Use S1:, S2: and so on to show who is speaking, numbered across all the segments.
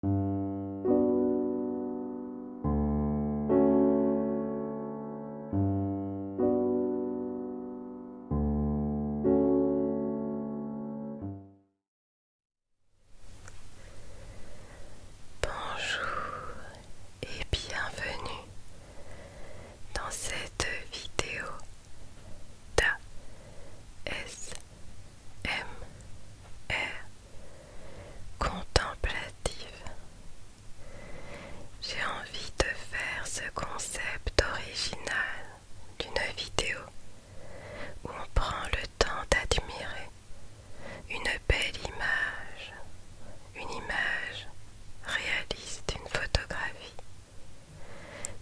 S1: Bonjour et bienvenue dans cette vidéo d'AS. M R e contemplative. J'ai envie de faire ce concept original d'une vidéo où on prend le temps d'admirer une belle image, une image réaliste, une photographie.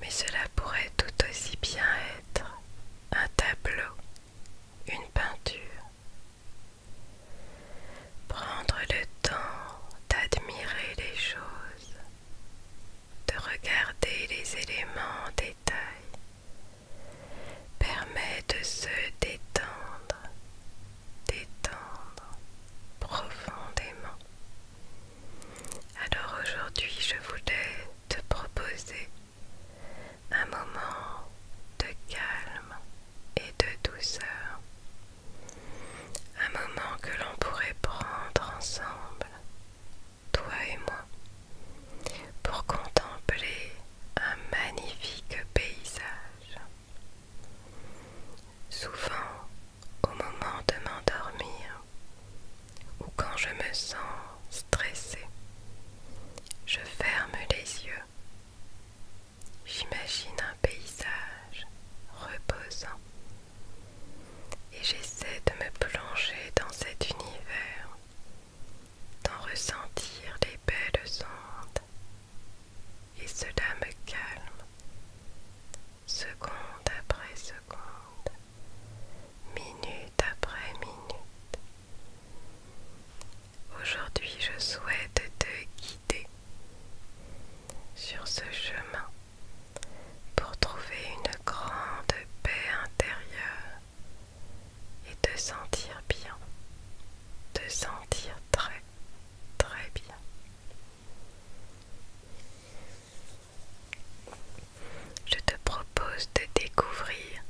S1: Mais cela pourrait tout aussi bien être un tableau une peinture. Prendre le temps d'admirer les choses, de regarder les éléments en détail, permet de se détendre, détendre profondément. Alors aujourd'hui, je voulais te proposer un moment de calme et de douceur, un moment que l'on pourrait prendre ensemble, toi et moi, pour contempler un magnifique paysage. Souvent, au moment de m'endormir, ou quand je me sens stressée. Je ferme les yeux. J'imagine un paysage reposant et j'essaie de me plonger dans cet univers, d'en ressentir les belles ondes et cela me calme. Seconde après seconde, minute après minute, Aujourd'hui, je souhaite te guider sur ce chemin pour trouver une grande paix intérieure et te sentir bien, te sentir très, très bien. Je te propose de découvrir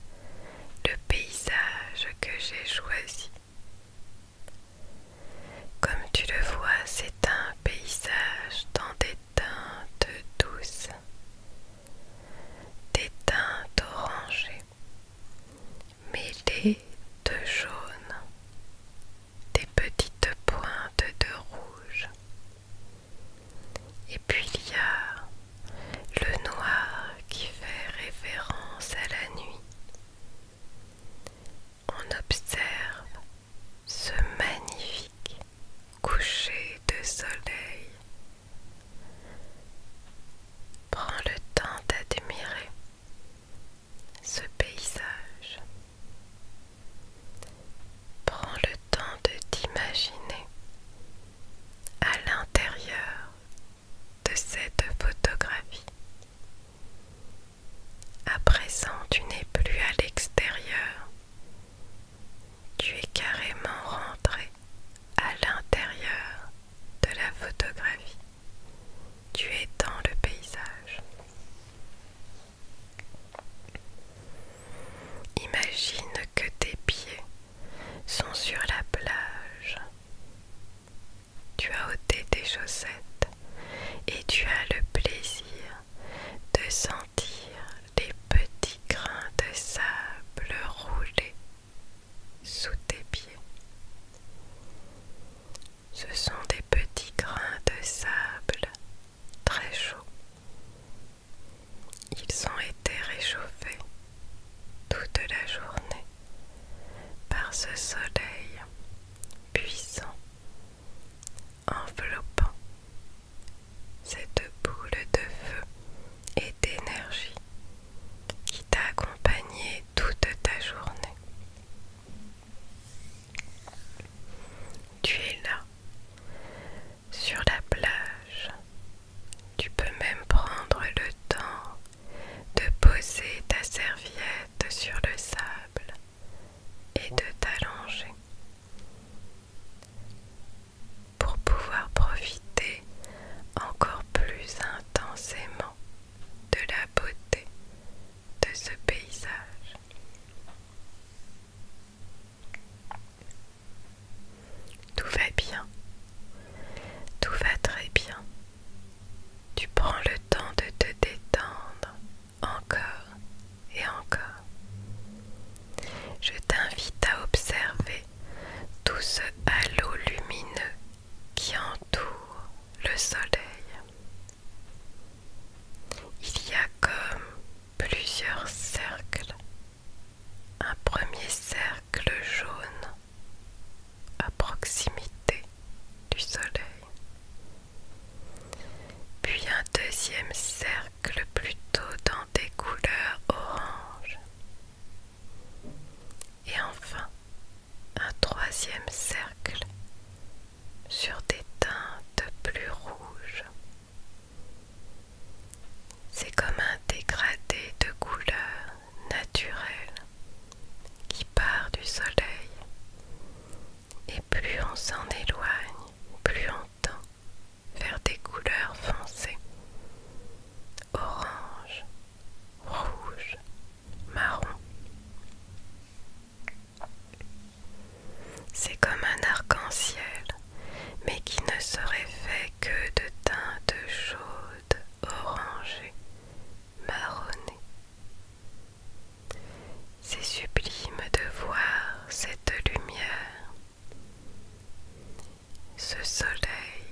S1: le paysage que j'ai choisi. Comme tu le vois, c'est un paysage dans des teintes douces, des teintes orangées, mêlées de jaune, des petites pointes de rouge. Et puis il y a le noir qui fait référence à la nuit. On observe ce magnifique coucher de soleil. Prends le temps d'admirer ce paysage. Prends le temps de t'imaginer à l'intérieur de cette photographie. À présent, tu n'es plus à l'extérieur, tu es carrément rentré à l'intérieur de la photographie. Tu es dans le paysage. Imagine que tes pieds sont sur la plage. Tu as ôté tes chaussettes et tu as le plaisir de sentir les petits grains de sable rouler sous tes pieds. Ce sont des petits grains de sable très chauds ils ont été réchauffés toute la journée par ce soleil puissant, enveloppant cette boule de feu et d'énergie qui t'a accompagné toute ta journée. Tu es là, sur la plage, tu peux même prendre le temps de poser ta serviette sur le sable et de t'allonger pour pouvoir profiter encore plus intensément de la beauté de ce paysage. Tout va bien. Tout va très bien. Tu prends le temps de te détendre encore et encore. Je t'invite à observer tout ce halo lumineux qui entoure le soleil. Il y a comme plusieurs cercles un premier cercle jaune à proximité du soleil, puis un deuxième cercle plutôt dans des couleurs orange, et enfin un troisième cercle sur des teintes plus rouges. C'est comme un dégradé de couleurs naturel qui part du soleil. Et plus on s'en éloigne, plus on tend vers des couleurs foncées. Orange, rouge, marron. C'est comme un arc-en-ciel, mais qui ne serait fait que de teintes chaudes marronné. C'est sublime de voir cette lumière, ce soleil.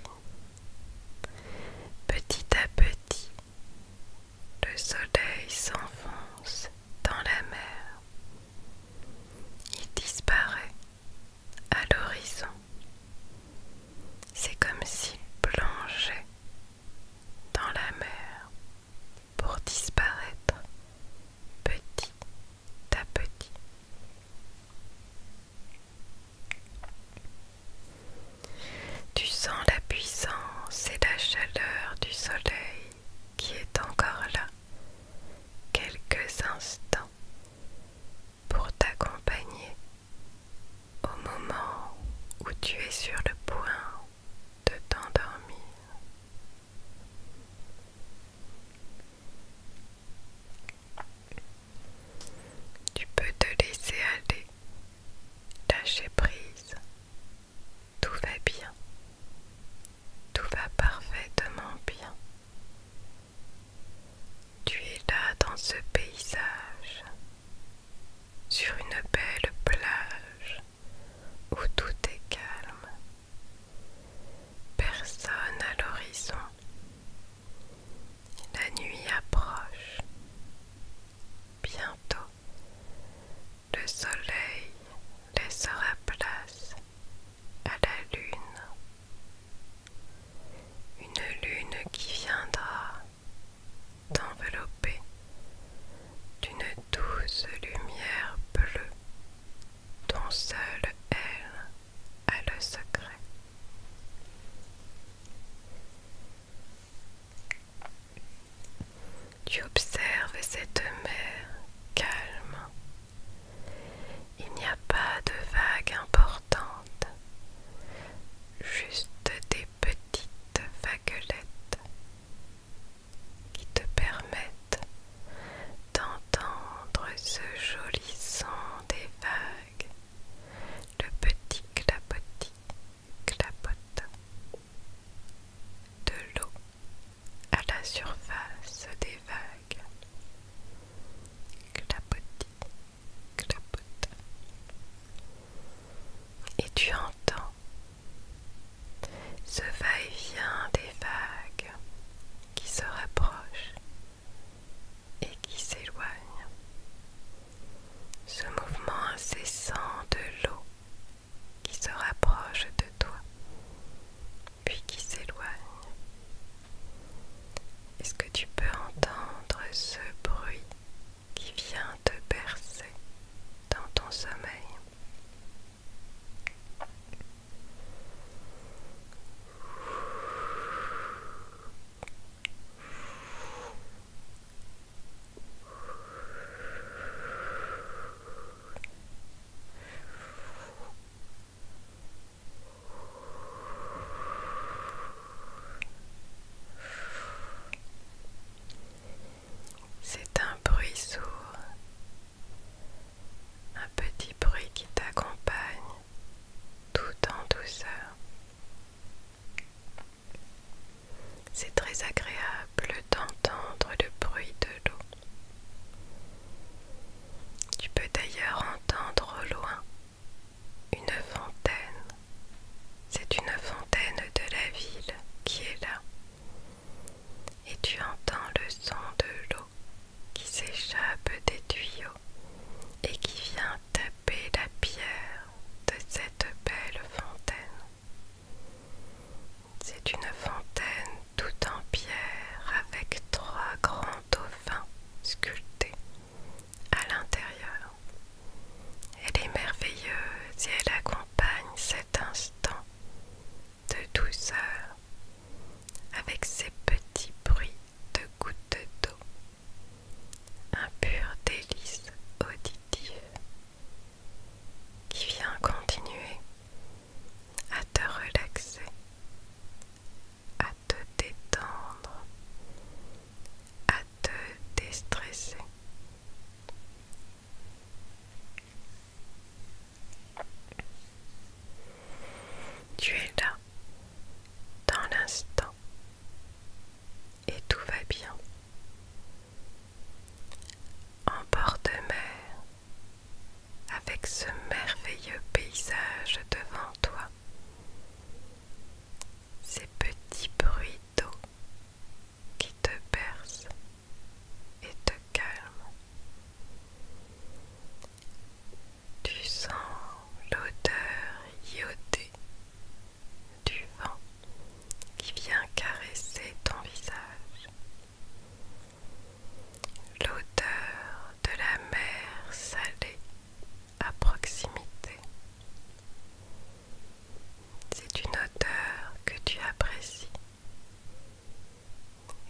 S1: Petit à petit, le soleil s'enfonce dans la mer. Il disparaît à l'horizon. C'est comme s'il plongeait dans la mer pour disparaître petit à petit. Tu sens la puissance et la chaleur du soleil qui est encore là quelques instants pour t'accompagner au moment où tu es sur le point de t'endormir. Tu peux te laisser aller, lâcher prise, tout va bien, tout va parfaitement bien. Tu es là dans ce paysage, sur une belle plage où tout est calme, personne à l'horizon. La nuit approche. Bientôt, le soleil laissera place à la lune une lune qui viendra t'envelopper d'une douce lumière bleue dont seule elle a le secret. Tu observes cette mer calme il n'y a pas de vagues importantes, juste des petites vaguelettes qui te permettent d'entendre ce joli son des vagues, le petit clapotis, clapotis, de l'eau à la surface des vagues. Clapotis, et tu entends ce va-et-vient des vagues qui se rapprochent et qui s'éloignent. Ce mouvement incessant de l'eau qui se rapproche de toi, puis qui s'éloigne, est-ce que tu peux entendre ce bruit qui vient te bercer dans ton sommeil c'est un bruit sourd, un petit bruit qui t'accompagne tout en douceur. C'est très agréable d'entendre le bruit de l'eau. Tu peux d'ailleurs entendre au loin une fontaine. C'est une fontaine de la ville qui est là. Et tu entends le son de l'eau qui s'échappe des tuyaux et qui vient taper la pierre de cette belle fontaine. C'est une fontaine toute en pierre avec trois grands dauphins sculptés à l'intérieur. Elle est merveilleuse et elle accompagne cet instant de douceur avec ses petits bruits de gouttes d'eau. Un pur délice auditif qui vient continuer à te relaxer à te détendre, à te déstresser. Tu es là, dans l'instant, et tout va bien. En bord de mer, avec ce merveilleux paysage devant toi, ces petits bruits d'eau qui te bercent et te calment. Tu sens l'odeur iodée du vent qui vient caresser ton visage. L'odeur de la mer salée à proximité. C'est une odeur que tu apprécies,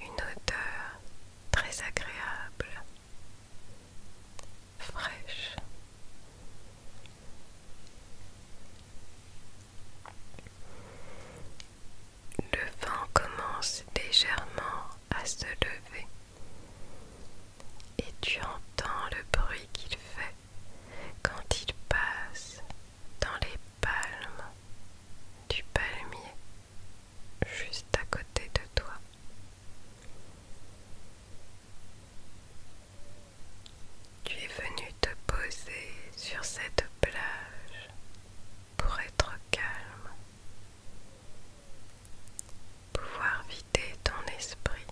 S1: une odeur très agréable, fraîche. Le vent commence légèrement à se lever. Et tu entends le bruit qu'il fait quand il passe dans les palmes du palmier juste à côté de toi. Tu es venu te poser sur cette plage pour être calme pouvoir vider ton esprit,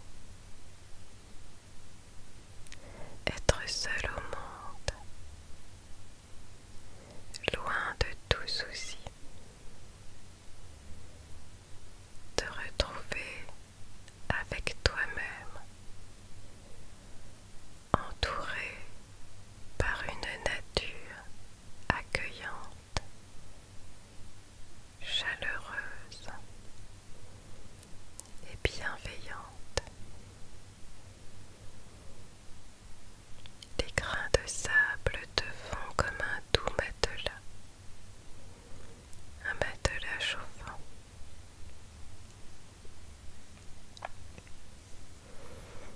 S1: être seul au monde, loin de tout souci, te retrouver avec toi-même, entouré par une nature accueillante chaleureuse et bienveillante. des grains de sable te font comme un doux matelas, un matelas chauffant.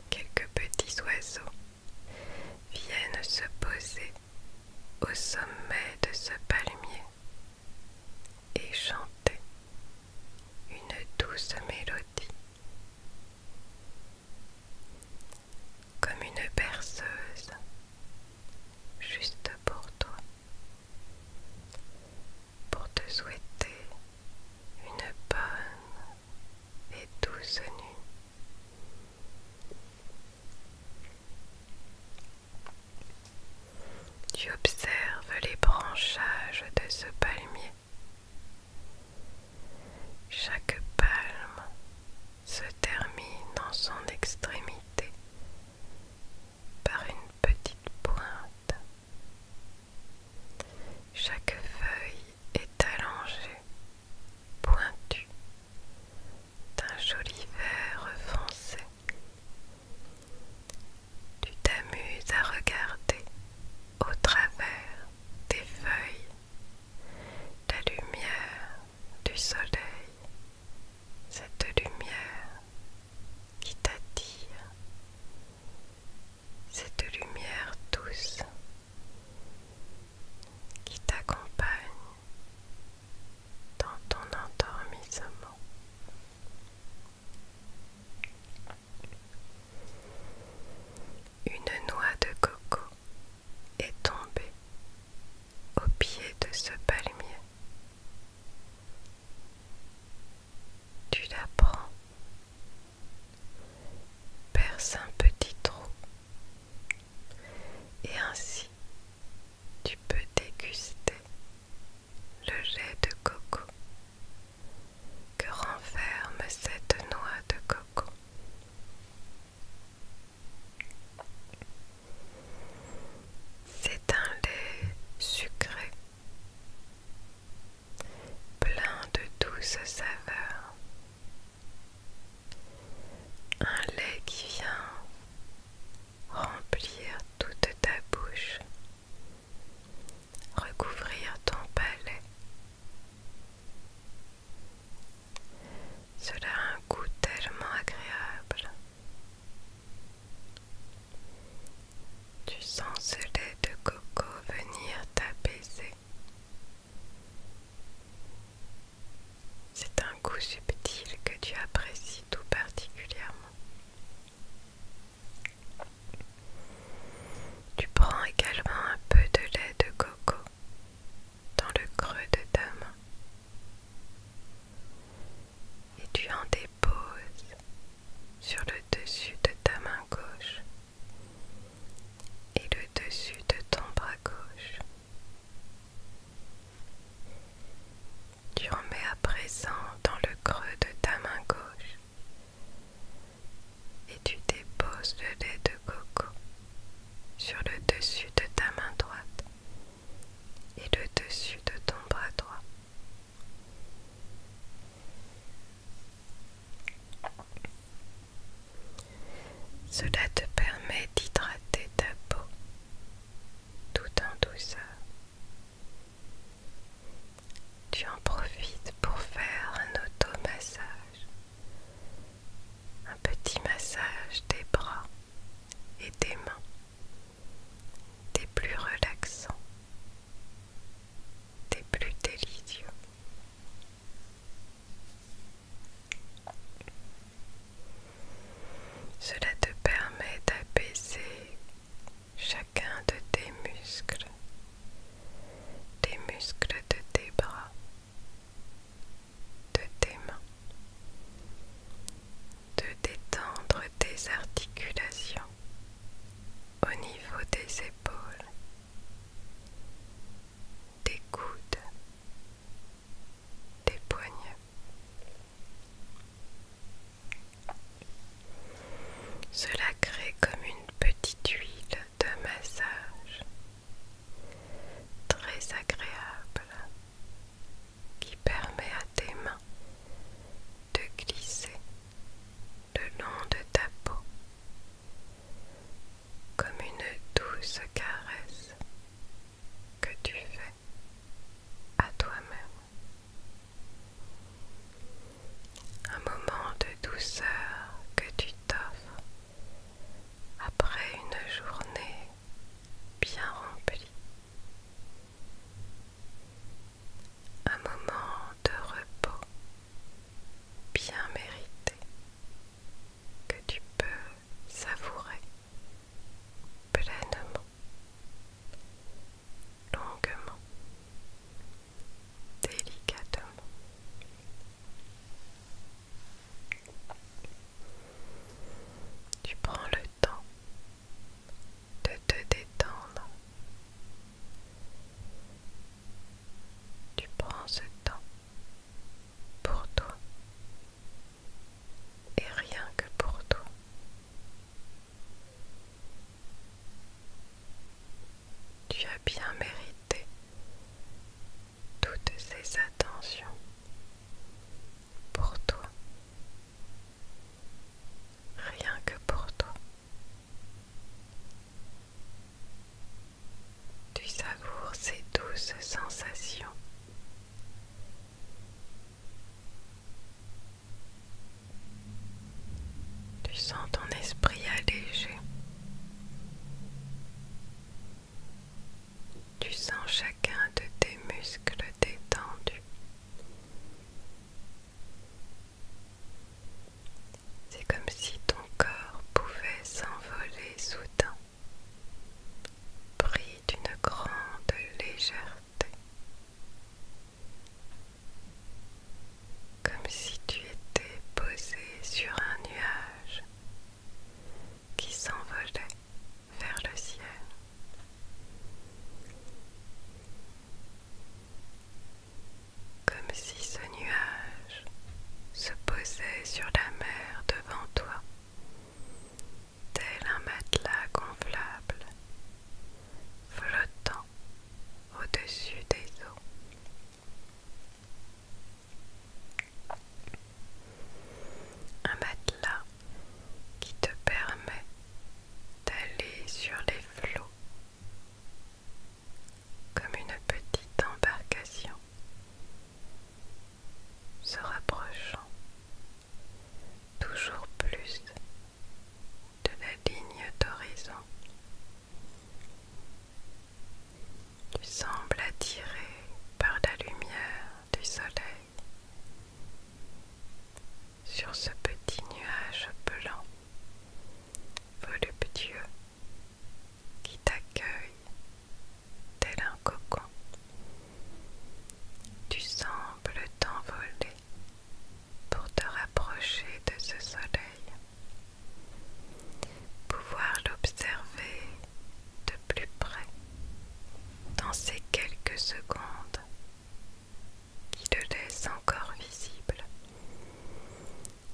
S1: Quelques petits oiseaux viennent se poser au sommet de ce palmier et chanter une douce mélodie. Comme une berceuse juste pour toi, pour te souhaiter une bonne et douce nuit. Tu observes les branchages de ce palmier. Chaque palme se termine en son extrémité par une petite pointe. Chaque feuille est allongée, pointue, d'un joli vert foncé. Tu t'amuses à regarder au travers des feuilles la lumière du soleil, cette lumière qui t'attire, cette lumière douce qui t'accompagne dans ton endormissement. Une noix de coco est tombée au pied de ce palmier. Tu la prends, perce un petit trou et ainsi tu peux déguster le lait de coco que renferme cette noix de coco. C'est un lait sucré, plein de douces saveurs un lait qui vient remplir toute ta bouche, recouvrir ton palais. Cela a un goût tellement agréable. Tu sens ce lait de coco venir t'apaiser. C'est un goût subtil que tu apprécies tout particulièrement. Tu prends également un peu de lait de coco dans le creux de ta main et tu en déposes sur le dessus de ta main gauche et le dessus de ton bras gauche. Tu mets à présent dans le creux de ta main gauche et tu déposes le lait de coco sur le dessus de ta main droite et le dessus de ton bras droit. Cela te permet d'hydrater ta peau tout en douceur. Tu en profites pour faire un auto-massage un petit massage des bras et des mains, des plus relaxants, des plus délicieux. Cela te permet d'apaiser chacun de tes muscles, les muscles de tes bras, de tes mains, de détendre tes articulations au niveau des épaules, des coudes, des poignets. Cela crée comme une petite huile de massage très agréable qui permet à tes mains de glisser le long de ta peau comme une douce caresse que tu fais à toi-même. Un moment de douceur que tu t'offres après une journée bien remplie. Un moment de repos bien mérité que tu peux savourer pleinement, longuement, délicatement. Tu prends le temps de te détendre. Tu prends ce temps pour toi et rien que pour toi. Tu as bien mérité toutes ces attentions pour toi, rien que pour toi. Tu savoures ces douces sensations tu sens ton esprit allégé. Tu sens chacun de tes muscles détendus. C'est comme si ton corps pouvait s'envoler soudain pris d'une grande légèreté, comme si tu étais posé sur un nuage qui s'envolait vers le ciel. Comme si ce nuage se posait sur la mer devant toi tel un matelas gonflable, flottant au-dessus des eaux. Un matelas qui te permet d'aller sur les flots comme une petite embarcation se rapprochant toujours plus de la ligne d'horizon. Tu sembles attiré par la lumière du soleil sur ce petit nuage blanc voluptueux qui t'accueille tel un cocon. Tu sembles t'envoler pour te rapprocher de ce soleil, pouvoir l'observer de plus près dans ces quelques secondes qui te laissent encore visible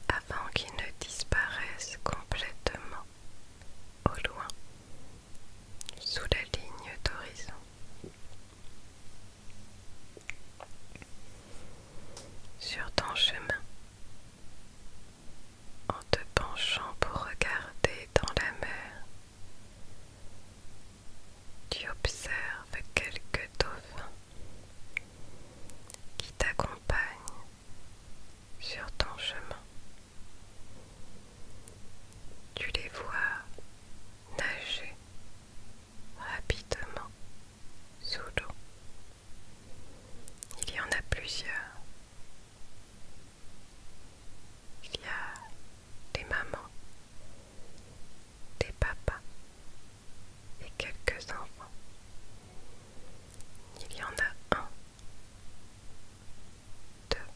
S1: avant qu'il ne disparaisse complètement au loin sous la ligne d'horizon. Sur ton chemin, en te penchant pour regarder dans la mer, tu observes quelques dauphins qui t'accompagnent sur ton chemin. Tu les vois nager rapidement sous l'eau. Il y en a plusieurs. Il y a des mamans, des papas et quelques enfants. Il y en a un, deux,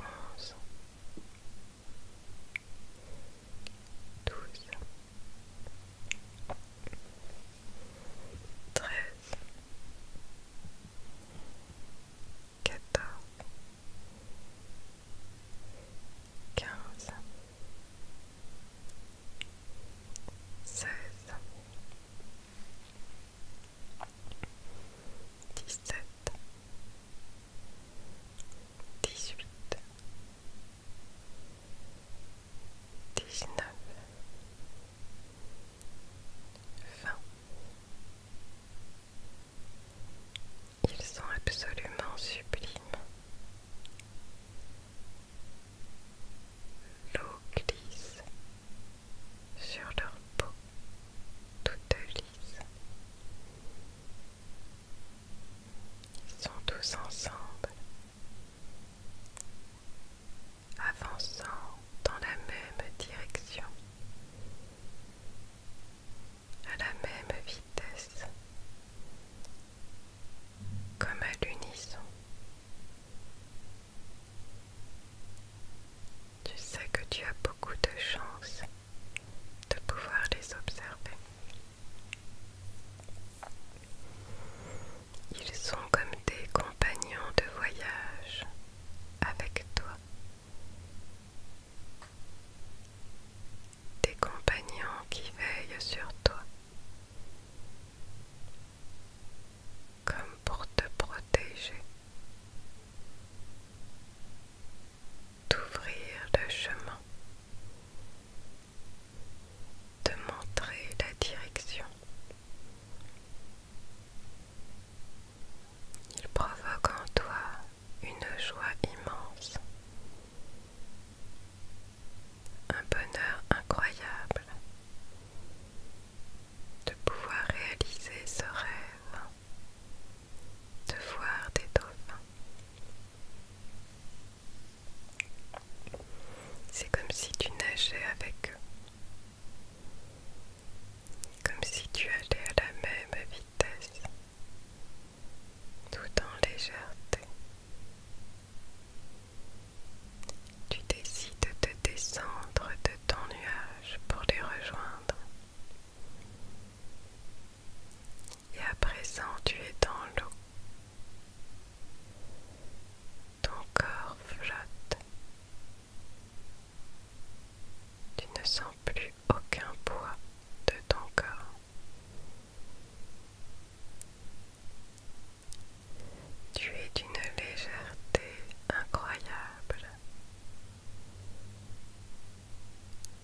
S1: onze, douze, treize, quatorze, quinze, seize dix-sept, dix-huit, dix Ils sont absolument sublimes. L'eau glisse sur leur peau toute lisse. Ils sont tous ensemble, avançant dans la même direction, à la même vitesse, comme à l'unisson. Tu sais que tu as beaucoup de chance de pouvoir les observer. Ils sont comme des compagnons de voyage avec toi. Des compagnons qui veillent sur toi comme pour te protéger, d'ouvrir le chemin, de montrer la direction. Il provoque en toi une joie immense, un bonheur incroyable de pouvoir réaliser ce rêve de voir des dauphins. C'est comme si tu nageais avec eux, comme si tu allais à la même vitesse, tout en légèreté. Tu décides de descendre de ton nuage pour les rejoindre. Et à présent tu es dans l'eau. Ton corps flotte. Tu ne sens plus aucun poids de ton corps. Tu es d'une légèreté incroyable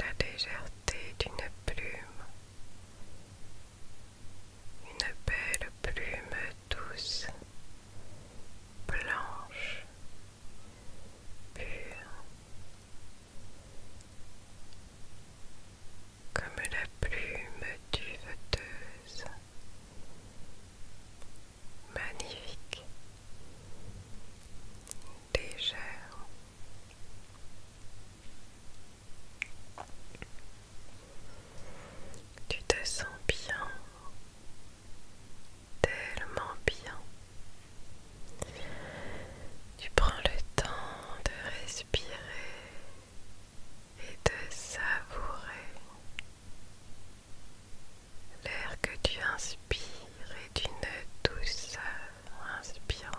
S1: la légèreté d'une plume, une belle plume douce, blanche, pure, comme la plume duveteuse magnifique, légère. Tu te sens bien, tellement bien. Tu prends le temps de respirer et de savourer L'air que tu inspires est une douceur inspirante.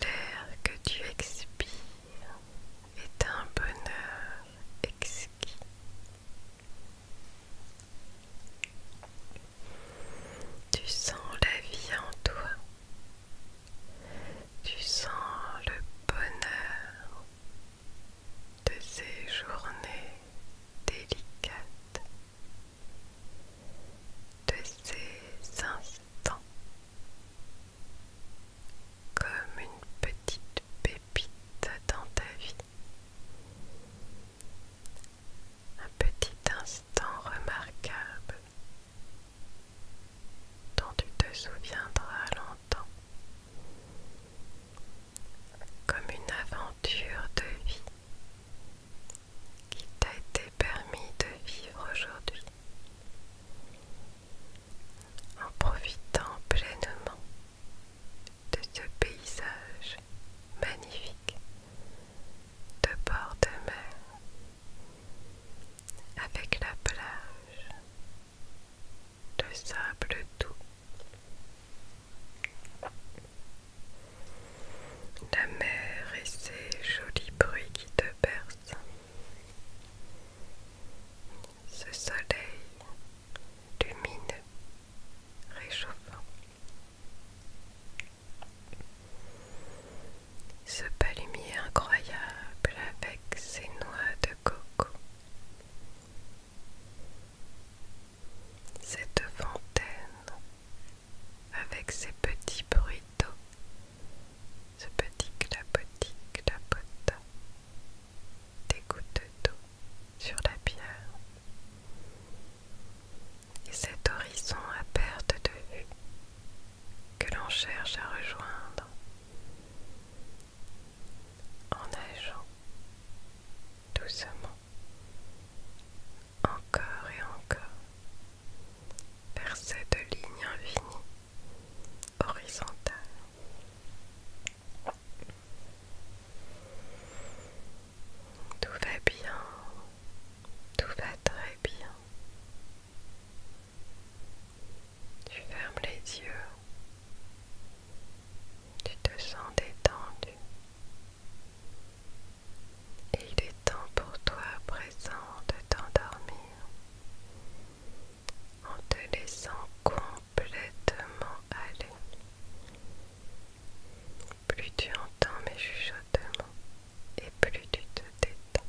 S1: L'air que tu expires est un bonheur exquis. Tu sens la vie en toi. Tu sens le bonheur de ces journées délicates, de ces instants, comme une petite pépite dans ta vie. Un petit instant remarquable dont tu te souviendras longtemps comme une aventure de vie qui t'a été permis de vivre aujourd'hui en profitant pleinement de ce paysage magnifique de bord de mer avec la plage de sable doux. La mer et ses jolis bruits qui te bercent. Ce soleil lumineux, réchauffant. Ce palumier incroyable avec ses noix de coco. Cette fontaine, avec ses petits bruits d'eau, ce petit clapotis clapota, des gouttes d'eau sur la pierre, et cet horizon à perte de vue que l'on cherche à rejoindre en nageant doucement encore et encore vers cette ligne infinie horizontale. Tout va bien, tout va très bien. Tu fermes les yeux. Tu te sens détendu. il est temps pour toi à présent de t'endormir en te laissant complètement aller. Plus tu entends mes chuchotements et plus tu te détends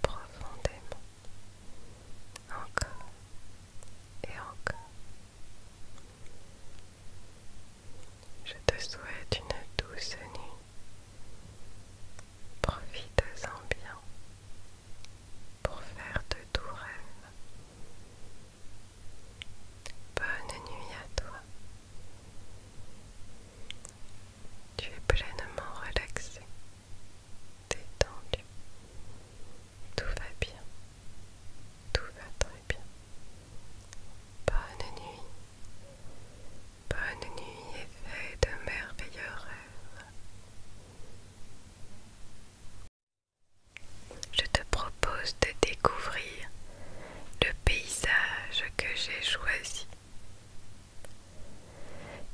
S1: profondément. Encore et encore. Je te souhaite une douce nuit. Profite-en bien pour faire de doux rêves Bonne nuit à toi. Tu es pleinement relaxé. Détendu Tout va bien. Tout va très bien. Bonne nuit. Bonne nuit et fais de merveilleux rêves. Je te propose de découvrir le paysage que j'ai choisi.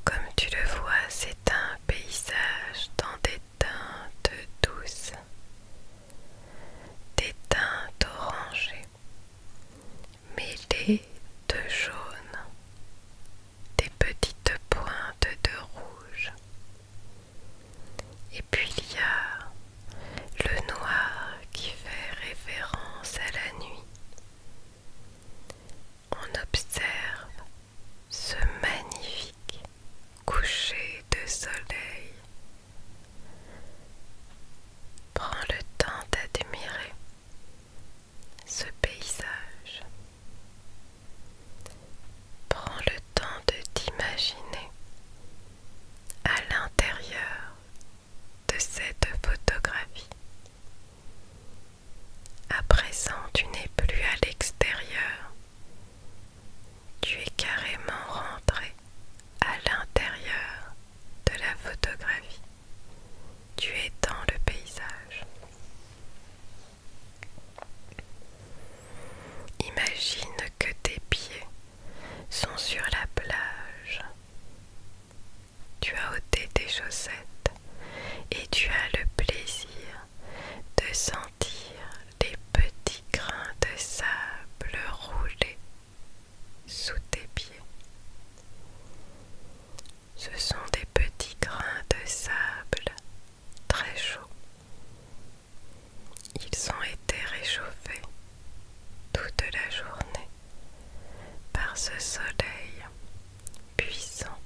S1: Comme tu le vois, c'est un paysage dans des teintes douces, des teintes orangées, mêlées de jaune, des petites pointes de rouge. Et puis il y a le noir qui fait référence à la nuit. On observe ce magnifique coucher de soleil. Prends le temps d'admirer ce paysage. Prends le temps de t'imaginer à l'intérieur de cette photographie. À présent, tu n'es plus à l'extérieur tu es carrément rentré à l'intérieur de la photographie. Tu es dans le paysage. Imagine que tes pieds sont sur la plage. Tu as ôté tes chaussettes et tu as le plaisir de sentir les petits grains de sable rouler sous tes pieds. Ce sont des petits grains de sable très chauds. Ils ont été réchauffés toute la journée par ce soleil puissant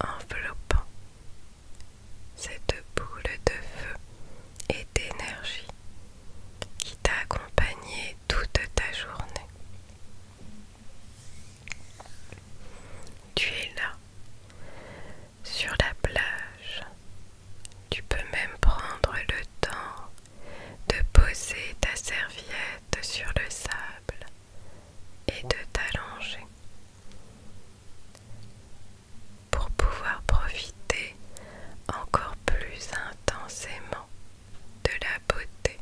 S1: enveloppant cette boule de feu et d'énergie qui t'a accompagné toute ta journée. Tu es là, sur la plage. Tu peux même prendre le temps de poser ta serviette sur le sable et de t'allonger pour pouvoir profiter encore plus intensément de la beauté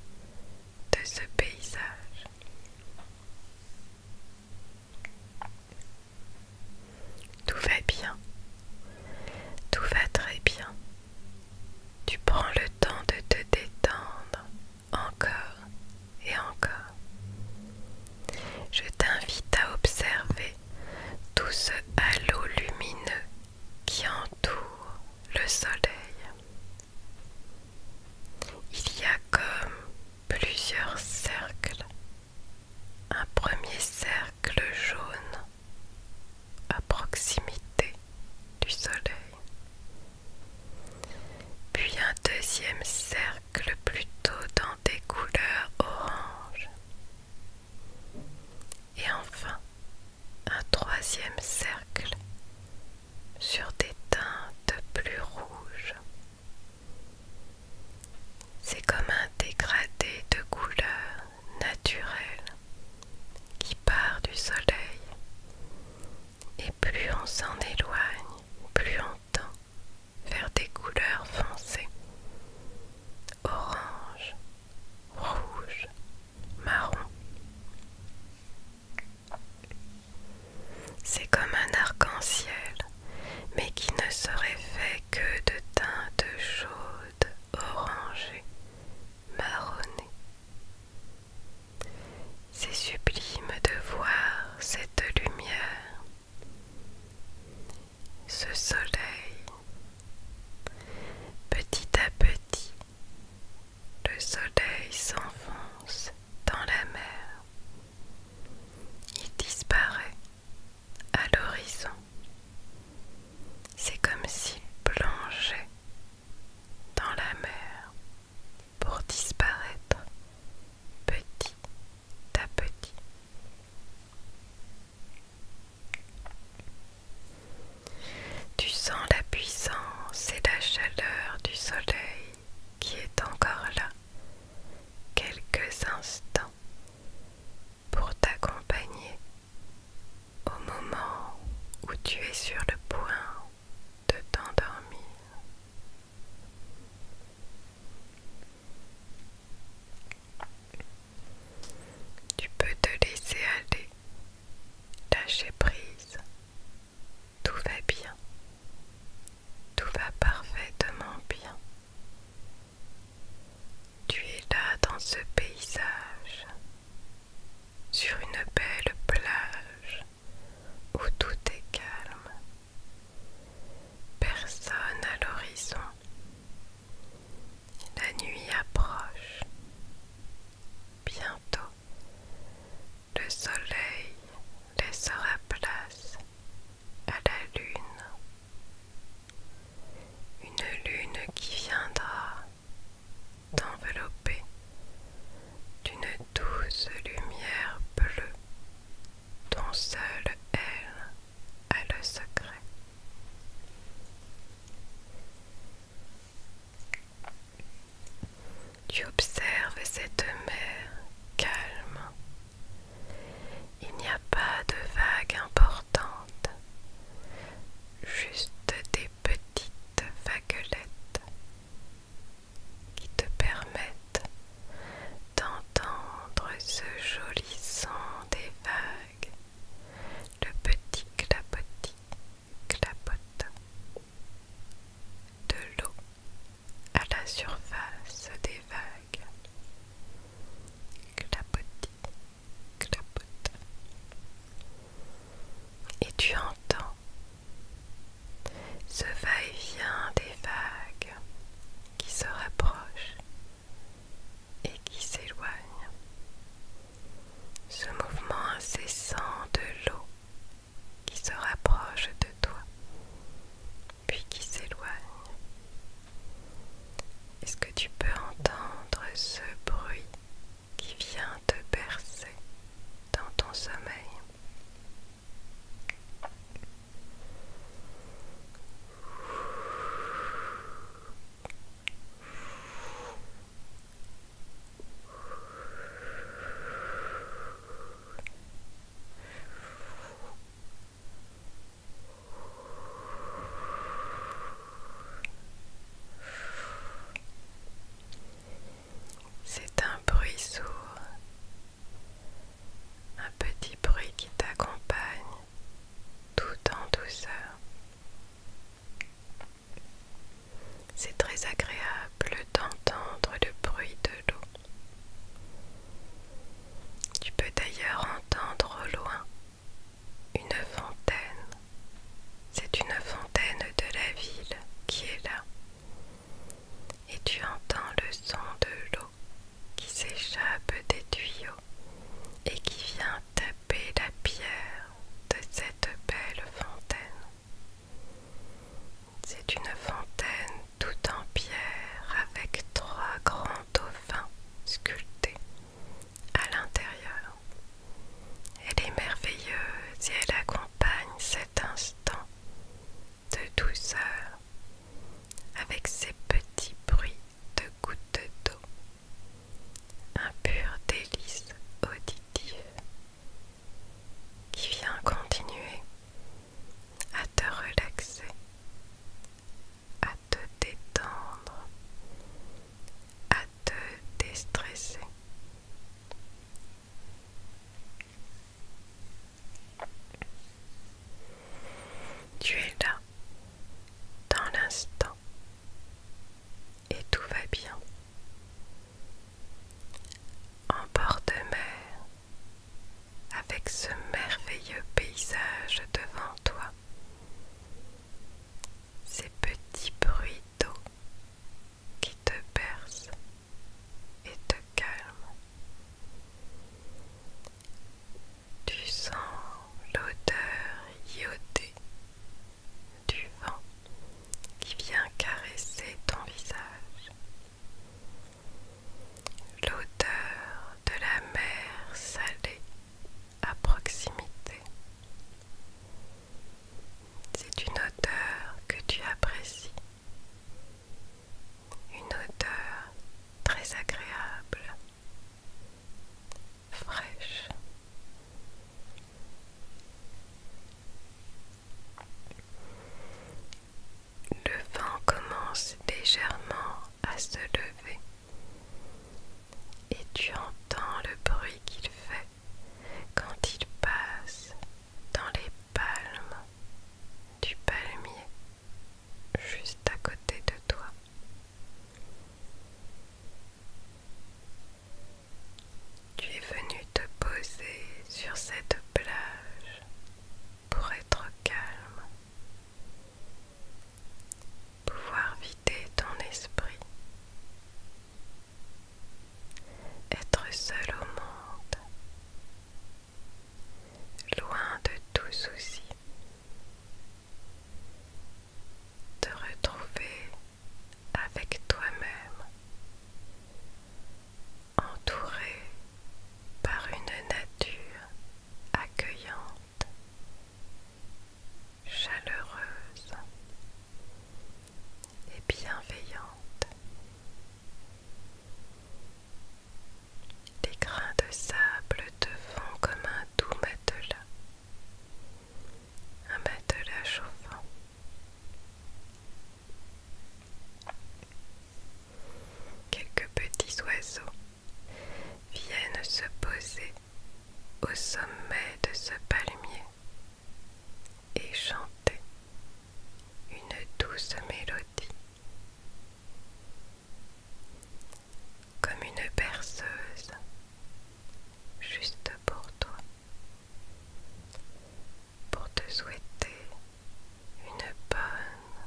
S1: de ce paysage. Tout va bien, tout va très bien. Tu prends le temps de te détendre encore et encore. Je t'invite à observer tout ce halo lumineux qui entoure le soleil. Il y a comme plusieurs cercles. Un premier cercle jaune à proximité du soleil. Puis un deuxième cercle plutôt dans des couleurs orange. Et enfin, un troisième cercle sur des teintes plus rouges. C'est comme un dégradé de couleurs naturelles qui part du soleil. Et plus on s'en éloigne, plus on vers des couleurs foncées orange, rouge, marron. C'est comme un arc-en-ciel, mais qui ne serait fait que de teintes chaudes, orangées, marronnées. C'est sublime de voir cette lumière, ce soleil. Petit à petit, le soleil s'enfonce dans la mer. Il disparaît à l'horizon. C'est comme s'il plongeait dans la mer pour disparaître petit à petit. Tu sens la puissance et la chaleur du soleil qui est encore là, quelques instants, pour t'accompagner au moment où tu es sur le point de t'endormir. Tu peux te laisser aller, lâcher prise. Tout va bien. Tout va parfaitement bien. Tu es là dans ce paysage, sur une belle plage, où tout est calme, personne à l'horizon. La nuit approche. Bientôt, le soleil laissera place à la lune. Une lune qui viendra t'envelopper d'une douce lumière bleue dont seule elle a le secret. Tu observes cette mer calme. Il n'y a pas de vagues importantes, juste des petites vaguelettes qui te permettent d'entendre ce joli son des vagues, le petit clapotis, clapote de l'eau à la surface des vagues. Clapotis, clapot, Et tu entends ce va-et-vient des vagues qui se rapprochent et qui s'éloignent. Ce mouvement incessant de l'eau qui se rapproche de toi, puis qui s'éloigne. Est-ce que tu peux entendre ce bruit qui vient te bercer dans ton sommeil c'est un bruit sourd un petit bruit qui t'accompagne tout en douceur. C'est très agréable d'entendre le bruit de l'eau. Tu peux d'ailleurs entendre au loin une fontaine. C'est une fontaine de la ville qui est là et tu entends le son de l'eau qui s'échappe des tuyaux et qui vient taper la pierre de cette belle fontaine. C'est une fontaine toute en pierre avec trois grands dauphins sculptés à l'intérieur. Elle est merveilleuse et elle accompagne cet instant de douceur avec ses petits bruits de gouttes d'eau, un pur délice auditif qui vient continuer à te relaxer, à te détendre, à te déstresser. Tu es là, dans l'instant, et tout va bien. En bord de mer, avec ce merveilleux paysage devant toi, ces petits bruits d'eau qui te percent et te calme. Tu sens l'odeur iodée du vent qui vient caresser ton visage. L'odeur de la mer salée à proximité. C'est une odeur que tu apprécies une odeur très agréable, fraîche. Le vent commence légèrement à se lever et tu entends le bruit qu'il fait quand il passe dans les palmes du palmier juste à côté de toi. Tu es venu te poser sur cette plage pour être calme, pouvoir vider ton esprit, être seul au monde loin de tout souci, te retrouver avec toi-même, entouré par une nature accueillante, chaleureuse et bienveillante. Des grains de sable te font comme un doux matelas, un matelas chauffant. Quelques petits oiseaux viennent se poser au sommet de ce palmier et chanter une douce mélodie comme une perceuse, juste pour toi, pour te souhaiter une bonne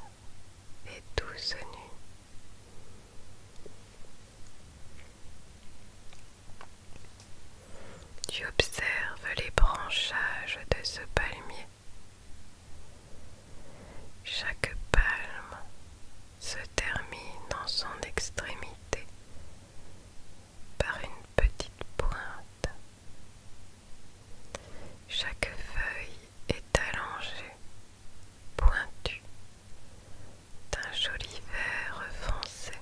S1: et douce nuit. Tu observes les branchages de ce palmier chaque palme se termine en son extrémité par une petite pointe. Chaque feuille est allongée, pointue, d'un joli vert foncé.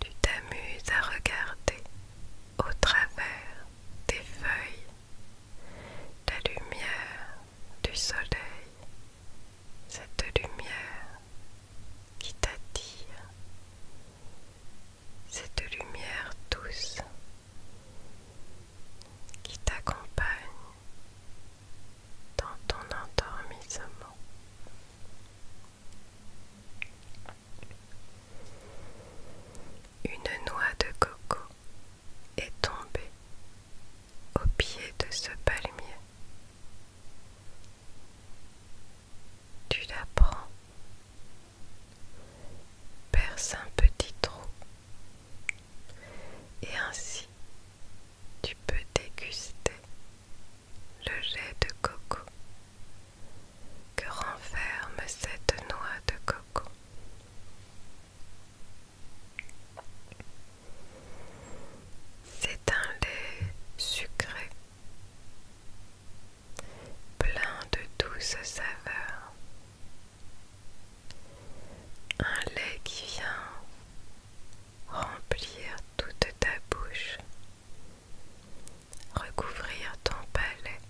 S1: Tu t'amuses à regarder au travers des feuilles, la lumière du soleil, cette lumière qui t'attire, cette lumière douce qui t'accompagne dans ton endormissement. Une noix de coco est tombée au pied de ce palmier. Tu la prends, perce un petit trou et ainsi tu peux déguster le lait de coco que renferme cette noix de coco. C'est un lait sucré, plein de douces saveurs. Un lait qui vient remplir toute ta bouche recouvrir ton palais.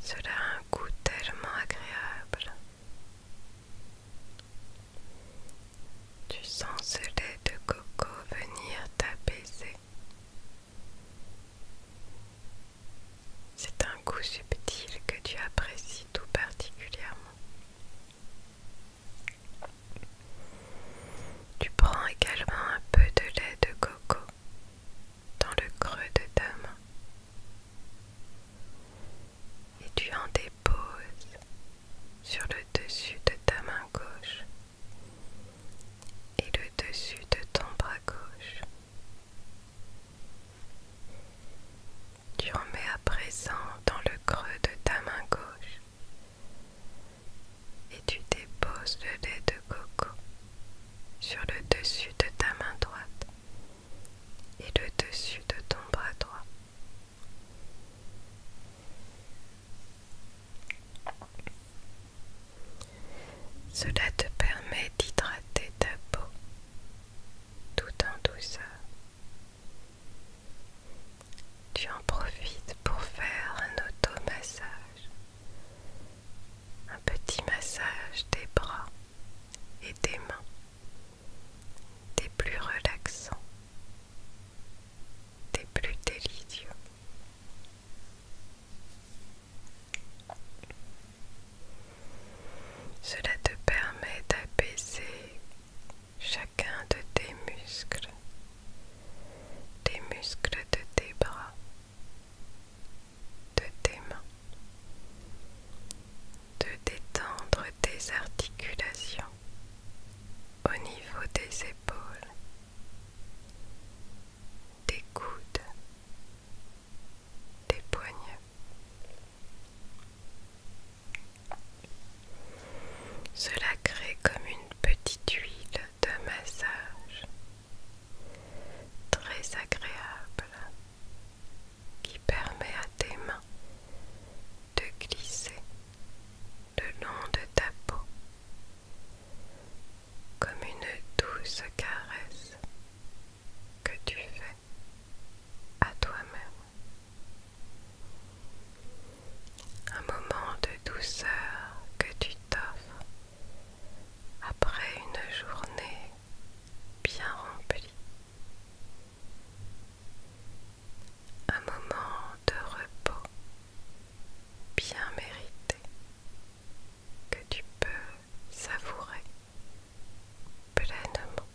S1: Cela a un goût tellement agréable. Tu sens ce lait de coco venir t'apaiser. C'est un goût subtil que tu apprécies tout particulièrement. Tu prends également un peu de lait de coco dans le creux de ta main et tu en déposes sur le dessus de ta main gauche et le dessus de ton bras gauche. Tu en mets à présent dans le creux de ta main gauche et tu déposes le lait de coco sur le dessus de ta main droite et le dessus de ton bras droit. Cela te permet d'hydrater ta peau tout en douceur tu en profites pour faire un auto-massage, un petit massage des bras et des mains, des plus relaxants, des plus délicieux. Cela te permet d'apaiser chacun de tes muscles des muscles de tes bras, de tes mains, de détendre tes articulations au niveau des épaules, des coudes, des poignets. Cela crée comme une petite huile de massage très agréable qui permet à tes mains de glisser le long de ta peau comme une douce caresse que tu fais à toi-même un moment de douceur que tu t'offres après une journée bien remplie, un moment de repos bien mérité que tu peux savourer pleinement,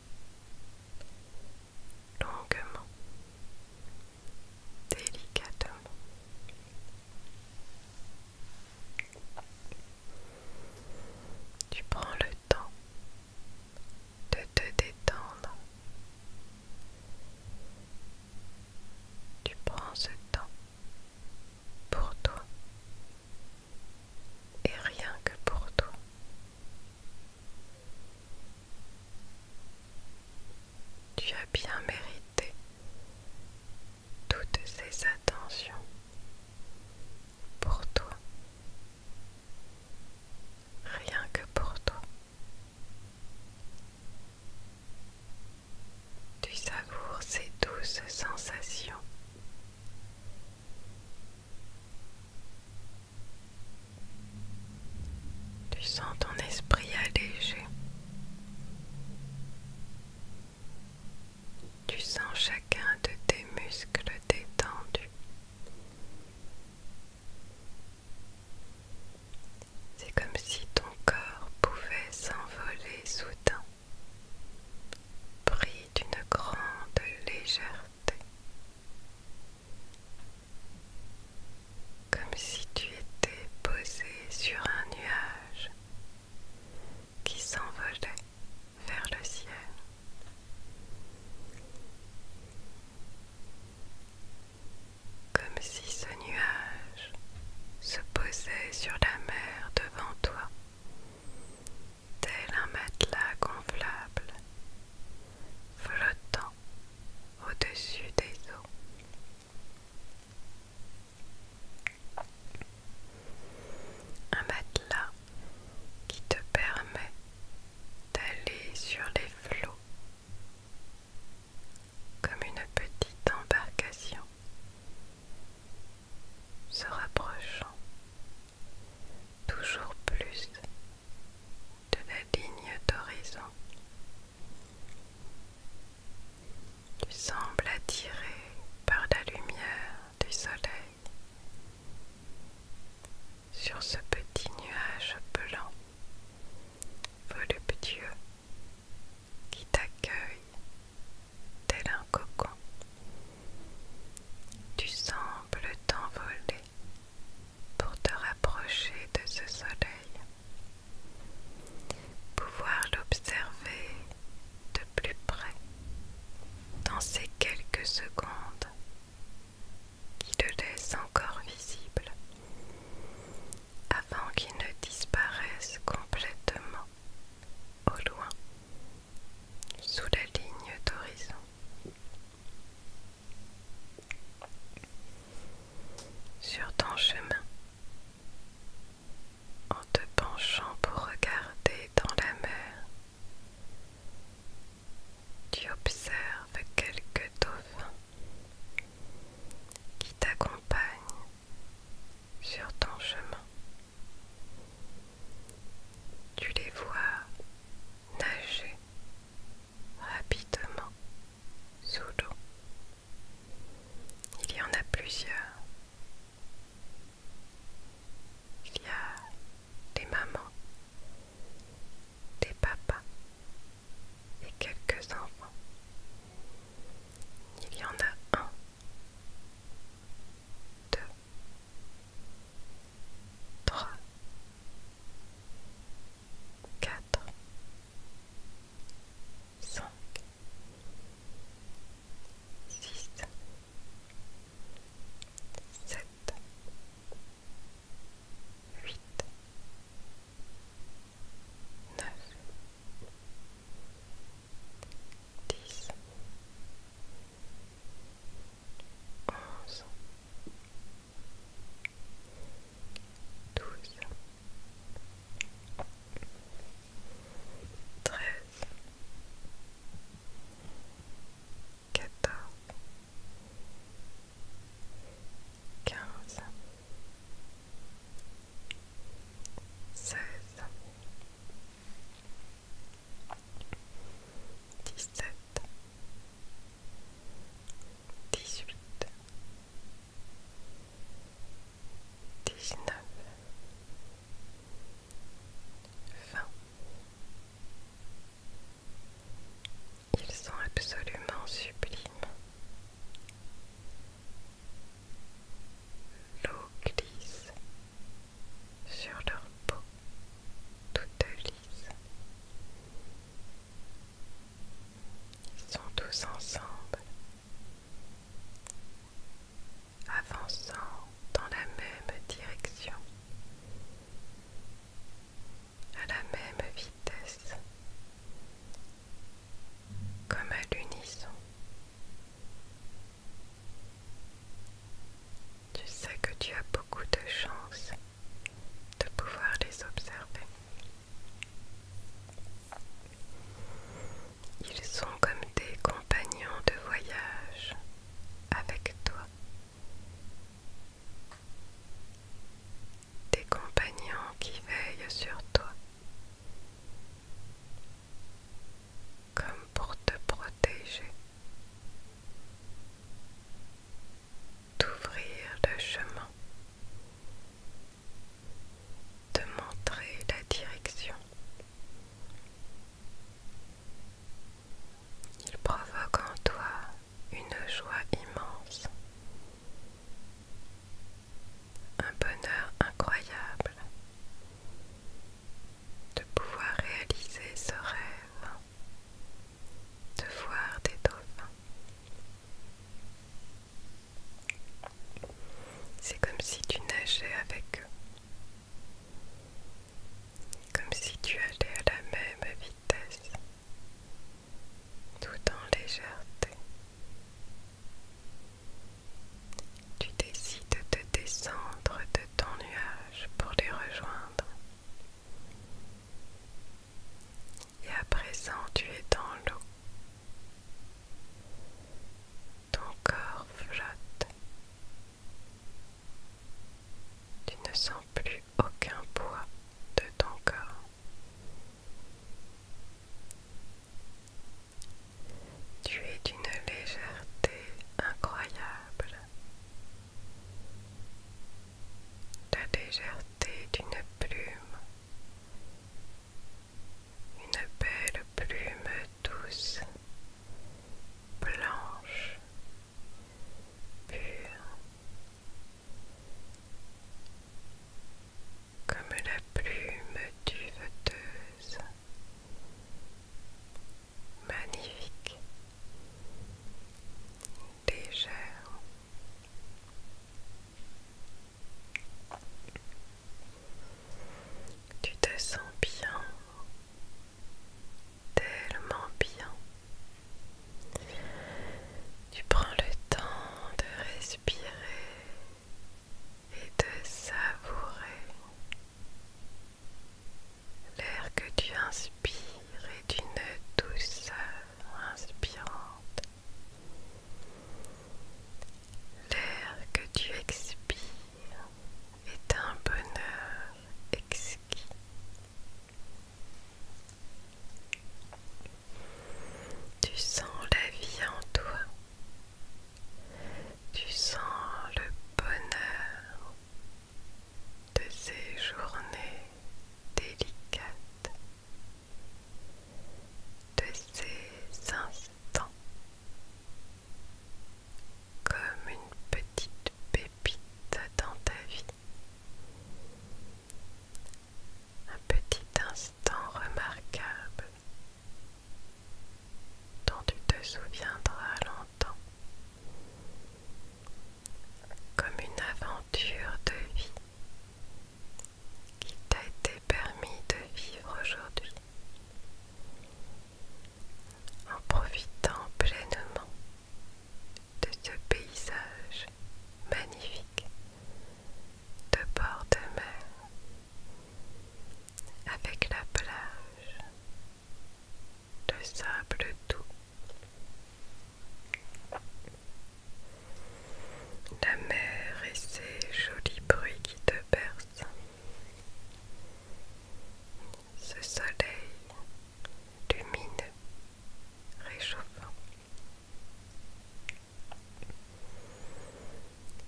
S1: longuement, délicatement. Tu prends le temps de te détendre. Tu prends ce temps pour toi et rien que pour toi. Tu as bien mérité toutes ces attentions pour toi. Rien que pour toi. Tu savoures ces douces sensations. Tu sens ton esprit allégé. Tu sens chacun de tes muscles détendus. C'est comme si ton corps pouvait s'envoler soudain, pris d'une grande légèreté comme si tu étais posé sur un nuage qui s'envolait vers le ciel. Comme si ce nuage se posait sur la mer devant toi, tel un matelas gonflable, flottant au-dessus des eaux. Un matelas qui te permet d'aller sur les flots comme une petite embarcation se rapprochant toujours plus de la ligne d'horizon tu sembles attiré par la lumière du soleil sur ce petit nuage blanc voluptueux qui t'accueille tel un cocon. Tu sembles t'envoler pour te rapprocher de ce soleil pouvoir l'observer de plus près dans ces quelques secondes qui le laissent encore visible avant qu'il ne disparaisse complètement au loin sous la ligne d'horizon. Sur ton chemin, en te penchant pour regarder dans la mer. Tu observes quelques dauphins qui t'accompagnent sur ton chemin. Tu les vois nager rapidement sous l'eau. Il y en a plusieurs. Il y a des mamans, des papas et quelques enfants. Il y en a un, deux, trois, quatre, cinq. 6 sept, huit, neuf, dix, onze, douze treize, quatorze, quinze, seize, dix-sept, dix-huit dix-neuf, Ils sont absolument sublimes. L'eau glisse sur leur peau toutes lisse. Ils sont tous ensemble avançant dans la même direction, à la même vitesse, comme à l'unisson. Tu sais que tu as beaucoup de chance de pouvoir les observer. Ils sont comme des compagnons de voyage avec toi. Des compagnons qui veillent sur toi. Comme pour te protéger. D'ouvrir le chemin de montrer la direction. Il provoque en toi une joie immense, un bonheur incroyable de pouvoir réaliser ce rêve, de voir des dauphins. C'est comme si tu nageais avec eux. Comme si tu allais à la même vitesse. Tout en légèreté. Tu décides de descendre de ton nuage pour les rejoindre. Et à présent, tu es dans l'eau. Ton corps flotte. Tu ne sens plus aucun poids de ton corps. Tu es d'une légèreté incroyable. La légèreté d'une plume une belle plume douce, blanche, pure, comme la plume du duveteuse, magnifique, légère. Tu te sens bien, tellement bien. Tu prends le temps de respirer et de savourer l'air que tu inspires est d'une douceur inspirante L'air que tu expires est un bonheur exquis. Tu sens la vie en toi. Tu sens le bonheur de ces journées délicates, de ces instants comme une petite pépite dans ta vie. Un petit instant remarquable dont tu te souviendras longtemps. Comme une aventure de vie qui t'a été permis de vivre aujourd'hui en profitant pleinement de ce paysage magnifique de bord de mer avec la plage, de sable doux. La mer et ses jolis bruits qui te ce soleil lumineux, réchauffant.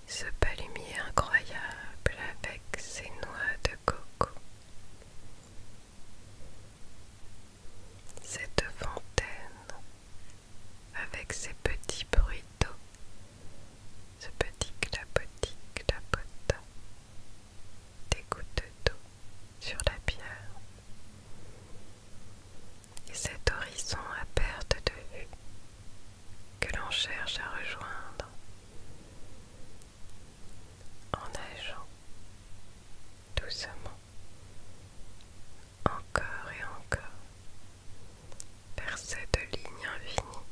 S1: Ce palumier incroyable avec ses noix de coco. Cette fontaine avec ces petits bruits d'eau, ce petit clapotis clapotas des gouttes d'eau sur la pierre. Et cet horizon à perte de vue que l'on cherche à rejoindre en nageant doucement encore et encore vers cette ligne infinie,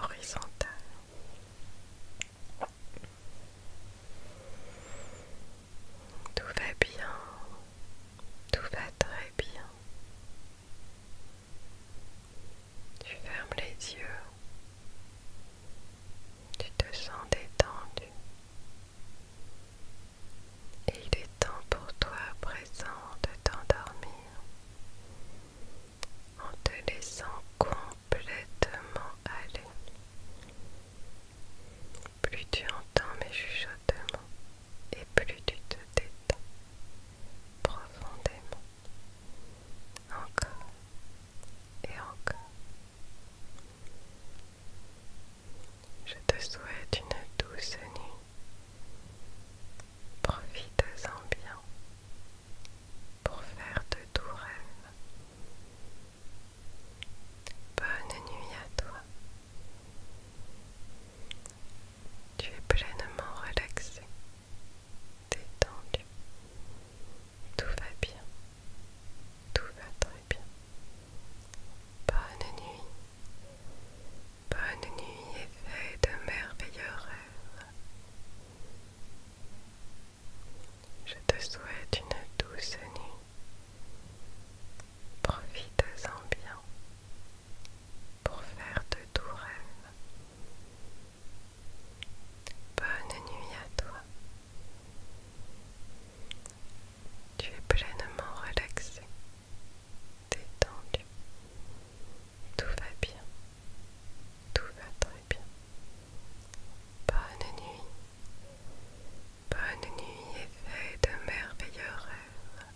S1: horizontale, Tout va bien, tout va très bien. Tu fermes les yeux, tu te sens détendu, il est temps pour toi à présent de t'endormir en te laissant complètement aller. Plus tu entends mes chuchotements et plus tu te détends profondément. Encore et encore. Je te souhaite une douce nuit Profites-en bien pour faire de doux rêves Bonne nuit à toi. Tu es pleinement relaxé, détendu. Tout va bien. Tout va très bien. Bonne nuit. Bonne nuit et fais de merveilleux rêves. Je te souhaite une douce nuit. Profite-en bien pour faire de doux rêves. Bonne nuit à toi. Tu es pleinement relaxé détendu. Tout va bien. Tout va très bien. Bonne nuit. Bonne nuit et fais de merveilleux rêves.